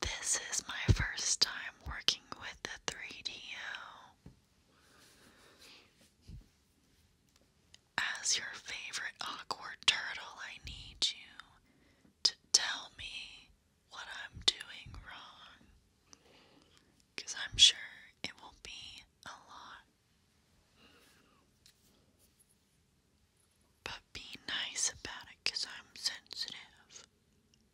This is my first time working with the 3DO. As your favorite awkward turtle, I need you to tell me what I'm doing wrong. Because I'm sure it will be a lot. But be nice about it because I'm sensitive.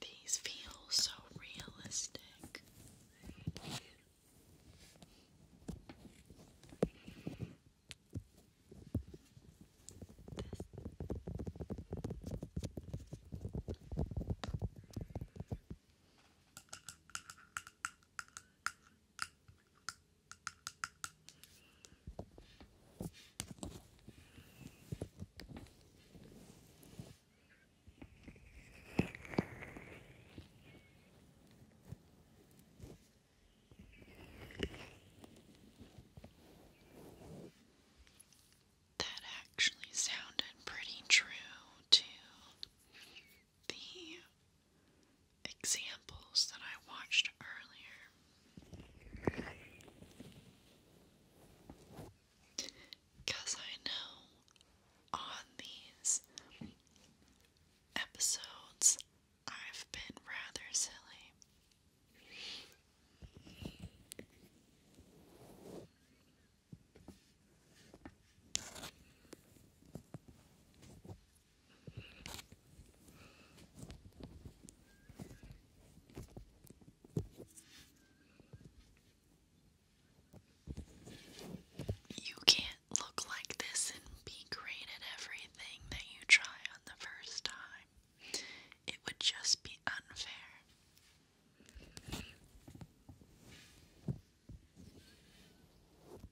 These feel so realistic. That actually sounded pretty true to the examples that I watched earlier. Because I know on these episodes I've been rather silly. You can't look like this and be great at everything that you try on the first time. It would just be unfair.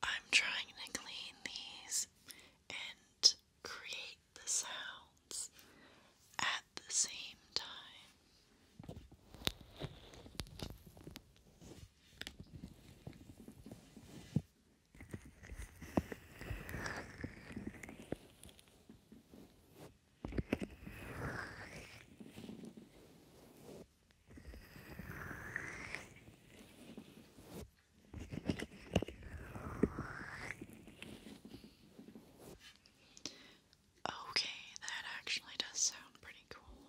I'm trying to clean these and create the sounds at the same time. Okay, that actually does sound pretty cool.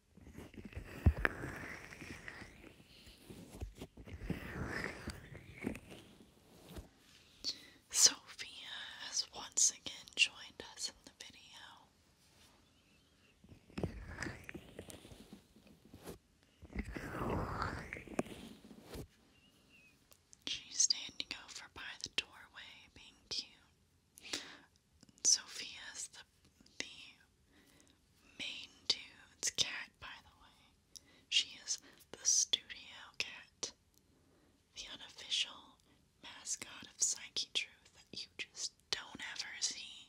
Sophia has once again joined us in the video. She's standing over by the doorway, being cute. Sophia's the the main dude's cat, by the way. She is the studio cat, the unofficial mascot of Psyche Truth that you just don't ever see.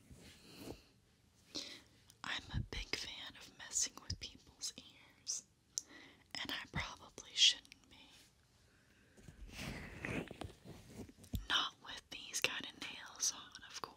I'm a big fan of messing with people's ears, and I probably shouldn't be. Not with these kind of nails on, of course.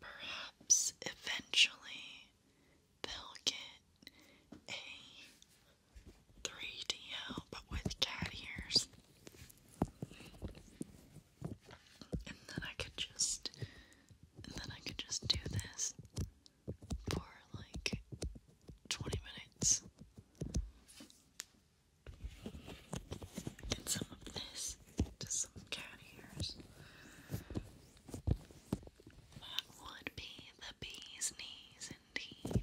Perhaps eventually they'll get a 3DO but with cat ears. And then I could just and then I could just do this for like 20 minutes. And some of this to some cat ears. That would be the bee's knees indeed.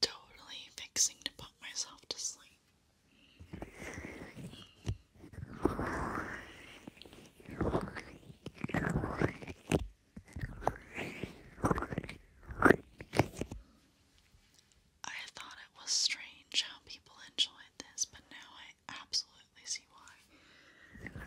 totally fixing to put myself to sleep. I thought it was strange how people enjoyed this, but now I absolutely see why.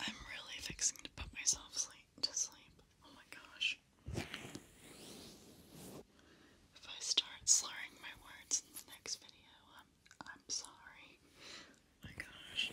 I'm really fixing to put myself sleep to sleep. Oh my gosh. If I start slurring my words in the next video, I'm I'm sorry. Oh my gosh.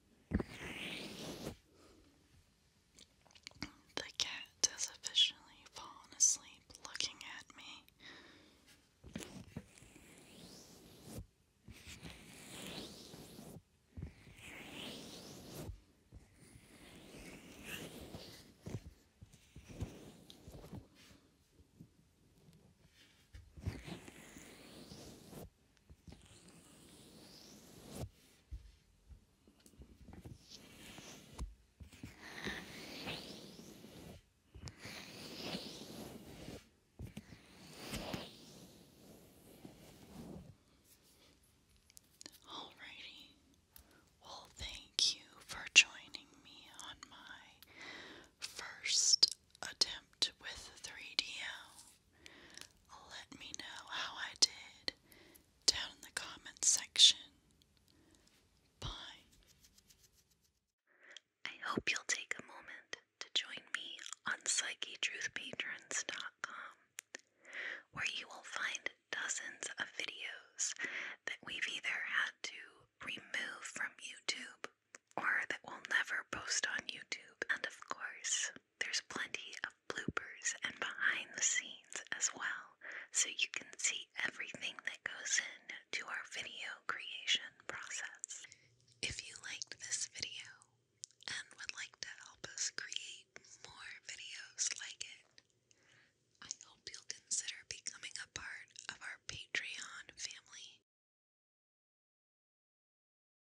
The cat has officially fallen asleep looking at me. Alrighty. Well, thank you for joining me on my first attempt with 3DO. Let me know how I did down in the comments section. Bye. I hope you'll take a moment to join me on PsycheTruthPatrons.com, where you will find dozens of videos that we've either had to remove from YouTube or that we'll never post on YouTube, and of course, there's plenty of bloopers and behind the scenes as well, so you can see everything that goes in to our video creation process. If you liked this video and would like to help us create more videos like it, I hope you'll consider becoming a part of our Patreon family.